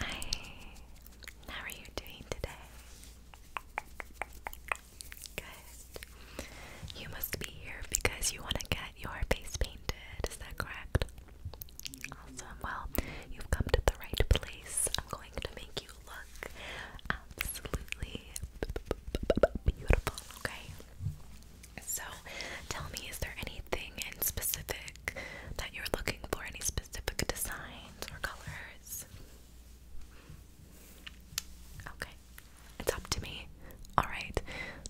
Hi, how are you doing today? Good. You must be here because you want to get your face painted, is that correct? Awesome. Well, you've come to the right place. I'm going to make you look absolutely beautiful, okay? So, tell me, is there anything in specific that you're looking for, any specific designs or colors. Okay, it's up to me. Alright,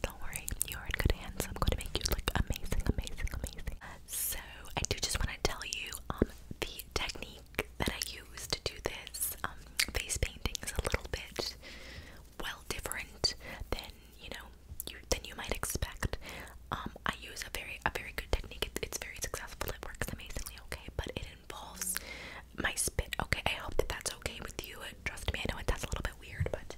don't worry, you are in good hands. I'm going to make you look amazing, amazing, amazing. So, I do just want to tell you um, the technique that I use to do this um, face painting is a little bit well different than you know you than you might expect. Um, I use a very a very good technique. It's, it's very successful. It works amazingly. Okay, but it involves my spit. Okay, I hope that that's okay with you. Uh, trust me, I know it that's a little bit weird, but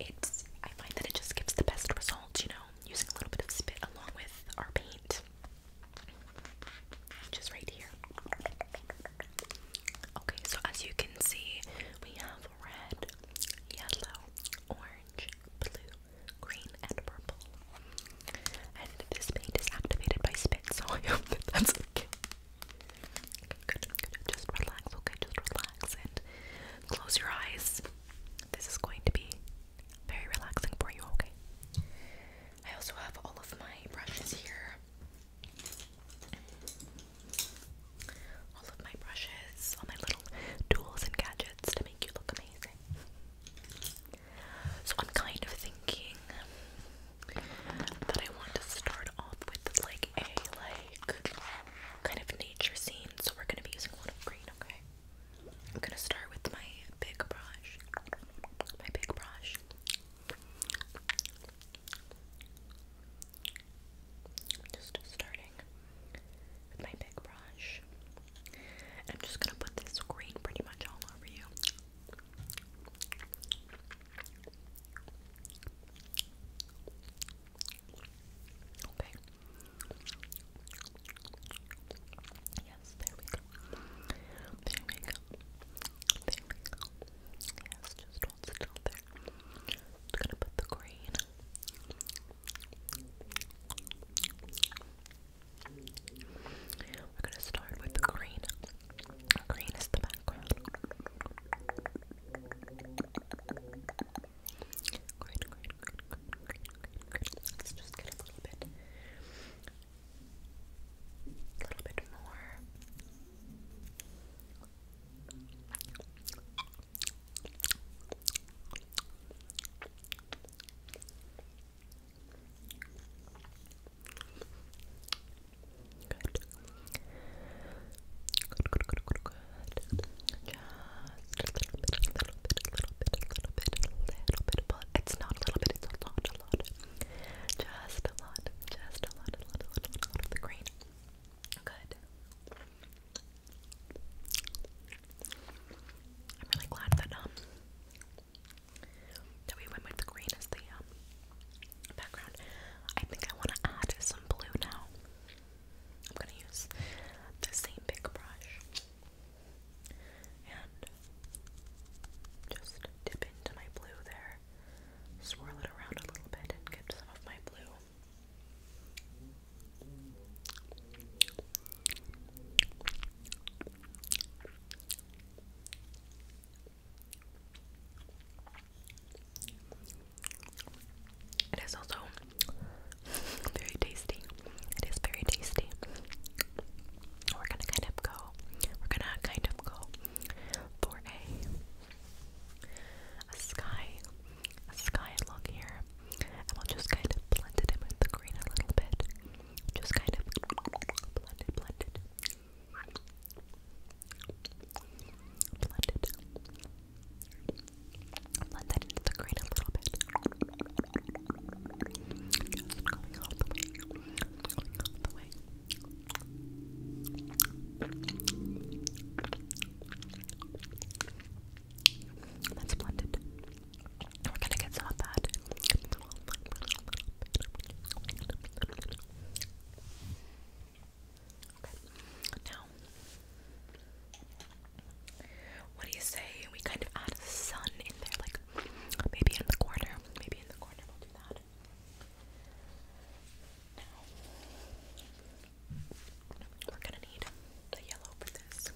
it's. I find that it just gives the best results. You know, using a little bit of spit along with our paint, which is right here. Okay, so as you can see, we have red, yellow, orange, blue, green, and purple. And this paint is activated by spit, so I hope that that's okay. Just relax, okay? Just relax and close your eyes. This is going to be very relaxing for you, okay? I also have all of my brushes here all of my brushes, all my little tools and gadgets to make you look amazing. So I'm kind of thinking that I want to start off with like a like kind of nature scene. So we're gonna be using a lot of green, okay? I'm gonna start with my big brush. My big brush. Just starting with my big brush. I'm just gonna put this green pretty much all over you. Okay. Yes, there we go. There we go. There we go. Yes, just hold still. There just gonna put the green. We're gonna start with the green. Green is the background. green, green, green, green, green, green. Let's just get a little bit, a little bit more good, good, good, good. Just a little bit, a little bit, a little bit, a little bit, a little bit, but it's not a little bit, it's a lot, a lot. Just a lot, just a lot, a lot, a lot, a lot of the green. Good. I'm really glad um, that we went with the green as the um, background. I think I want to add some blue now. I'm gonna use the same big brush and just dip into my blue there, swirl it around a little bit, and get some of my blue it is also very tasty. It is very tasty. We're gonna kind of go. We're gonna kind of go for a sky a sky look here, and we'll just kind of blend it in with the green a little bit. Just kind of blended, blended, blended, it, into the green a little bit. Just going all the way, going all the way. That's blended. We're gonna get some of that. Okay. what do you say we kind of add a sun in there, like maybe in the corner, maybe in the corner we'll do that. Now, we're gonna need the yellow for this.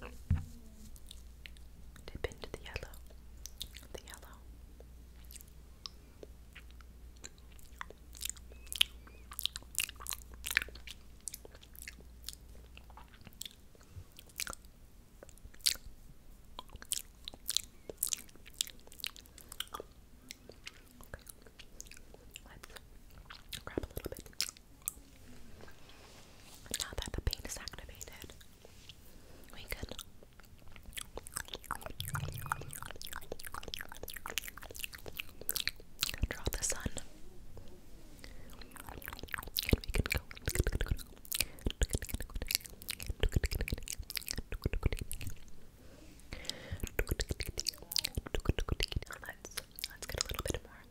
Just dip into the yellow. The yellow. Let's grab a little bit. Now that the paint is activated, we can draw the sun. And we can go. Let's, let's get a little bit more.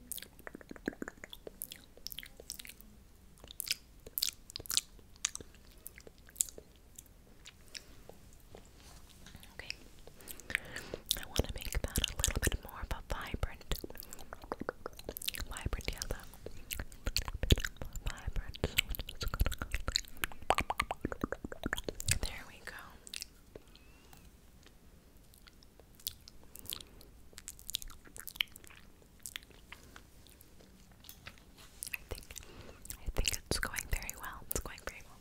Okay. I want to make that a little bit more of a vibrant, vibrant yellow. Vibrant. So there we go. I think I think it's going very well. It's going very well.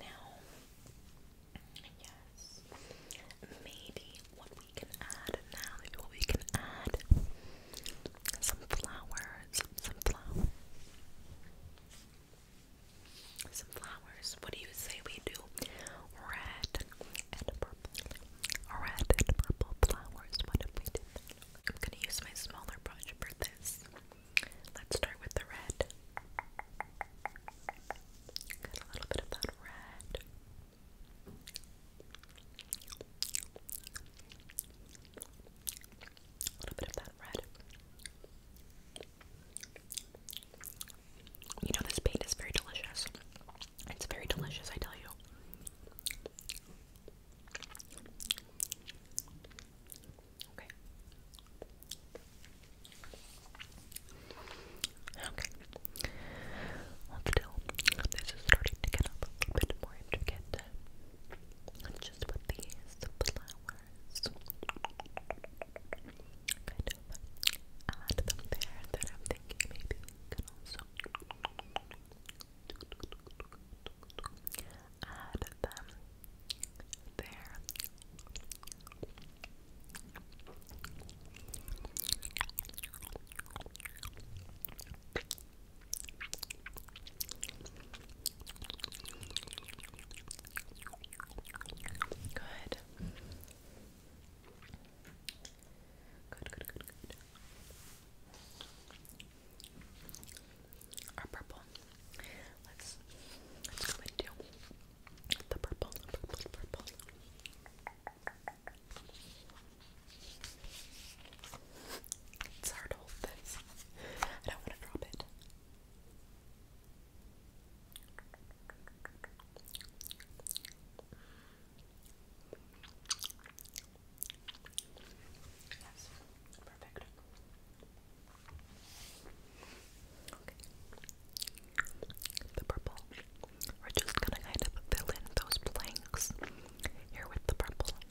Now, yes, maybe what we can add now, what we can add some flowers, some flowers, What do you say we do? Red and purple, red and purple flowers. What if we did I'm gonna use my smaller brush for this. Let's start with the red. Got a little bit of that red. A little bit of that red. You know, this paint is very delicious. It's very delicious, I tell you. Okay. Okay. let This is starting to get a bit more intricate just with these flowers. Kind of add them there that I'm thinking maybe we also add them there. Good. Good, good, good, good. Our purple. Let's let's go into the purple, the purple, purple. It's hard to hold this. I don't want to drop it. Yes, perfect. Okay. The purple. We're just gonna kind of fill in those blanks here with the purple.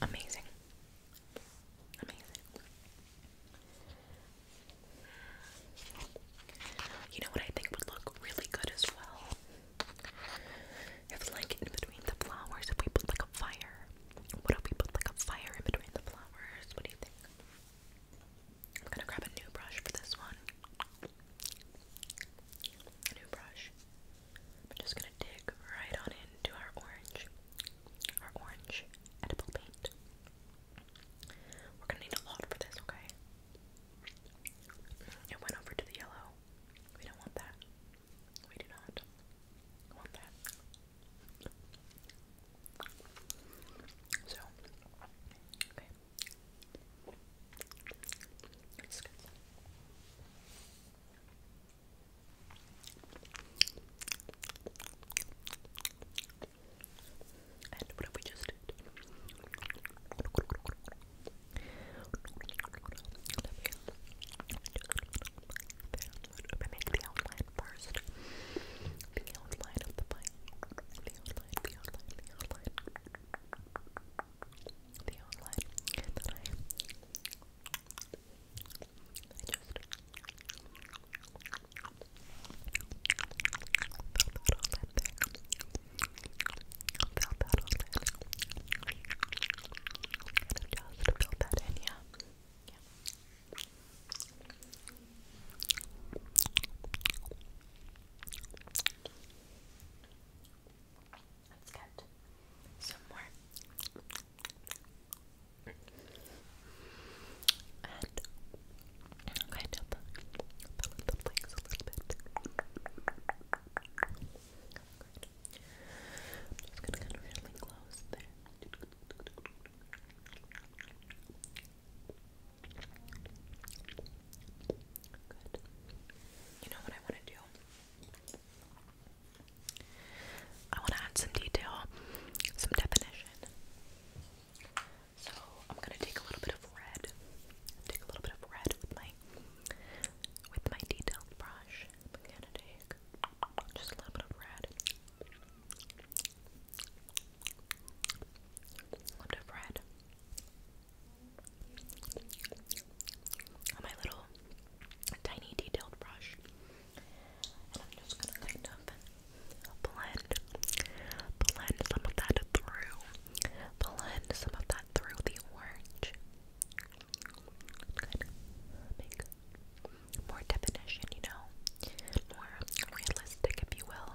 Amazing. Amazing. You know what I think would look really good as well? If like in between the flowers, if we put like a fire. What if we put like a fire in between the flowers? What do you think? I'm gonna grab a new brush for this one. A new brush. I'm just gonna dig right on into our orange, our orange edible paint. We're gonna need a lot for this, okay? Mm, it went over to the yellow. We don't want that. We do not want that. So, it's good. And what have we just did? I make the outline first. The outline of the bike. The outline, the outline, the outline the outline that I I just felt that all in there felt that all in I just felt that in, yeah yeah Let's get some more. And kind of fill in the blanks a little bit. I'm just gonna kind really close there. You know what I want to do? I want to add some detail, some definition. So I'm gonna take a little bit of red. Take a little bit of red with my with my detailed brush. I'm gonna take just a little bit of red. little bit of red my little tiny detailed brush. And I'm just gonna kind of blend, blend some of that through, blend some of that through the orange. make more definition, you know, more realistic, if you will.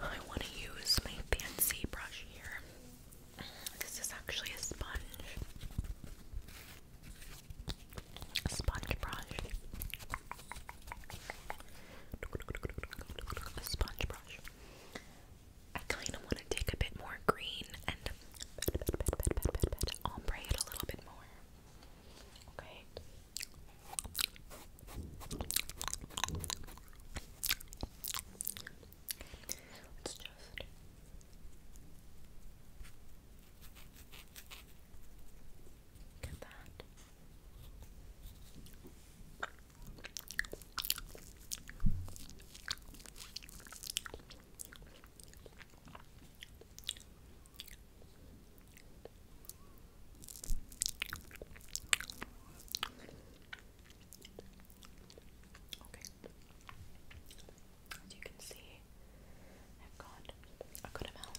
I want to use my fancy brush here. This is actually a sponge. sponge brush. A sponge brush. I kind of want to take a bit more green and ombre it a little bit more. Okay. Let's just get that. Okay. As you can see, I've got a good amount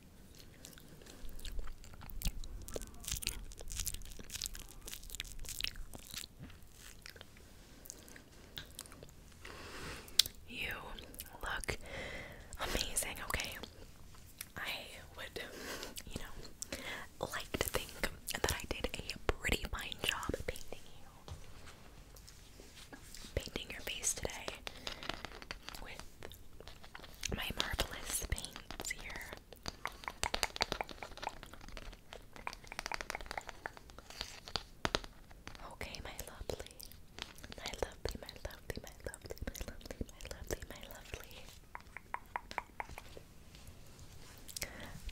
You look amazing, okay? I would, you know, like to think that I did a pretty fine job painting you. Painting your face today my marvelous paints here. Okay, my lovely. My lovely, my lovely, my lovely, my lovely, my lovely,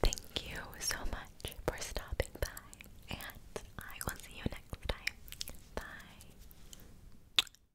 Thank you so much for stopping by, and I will see you next time. Bye.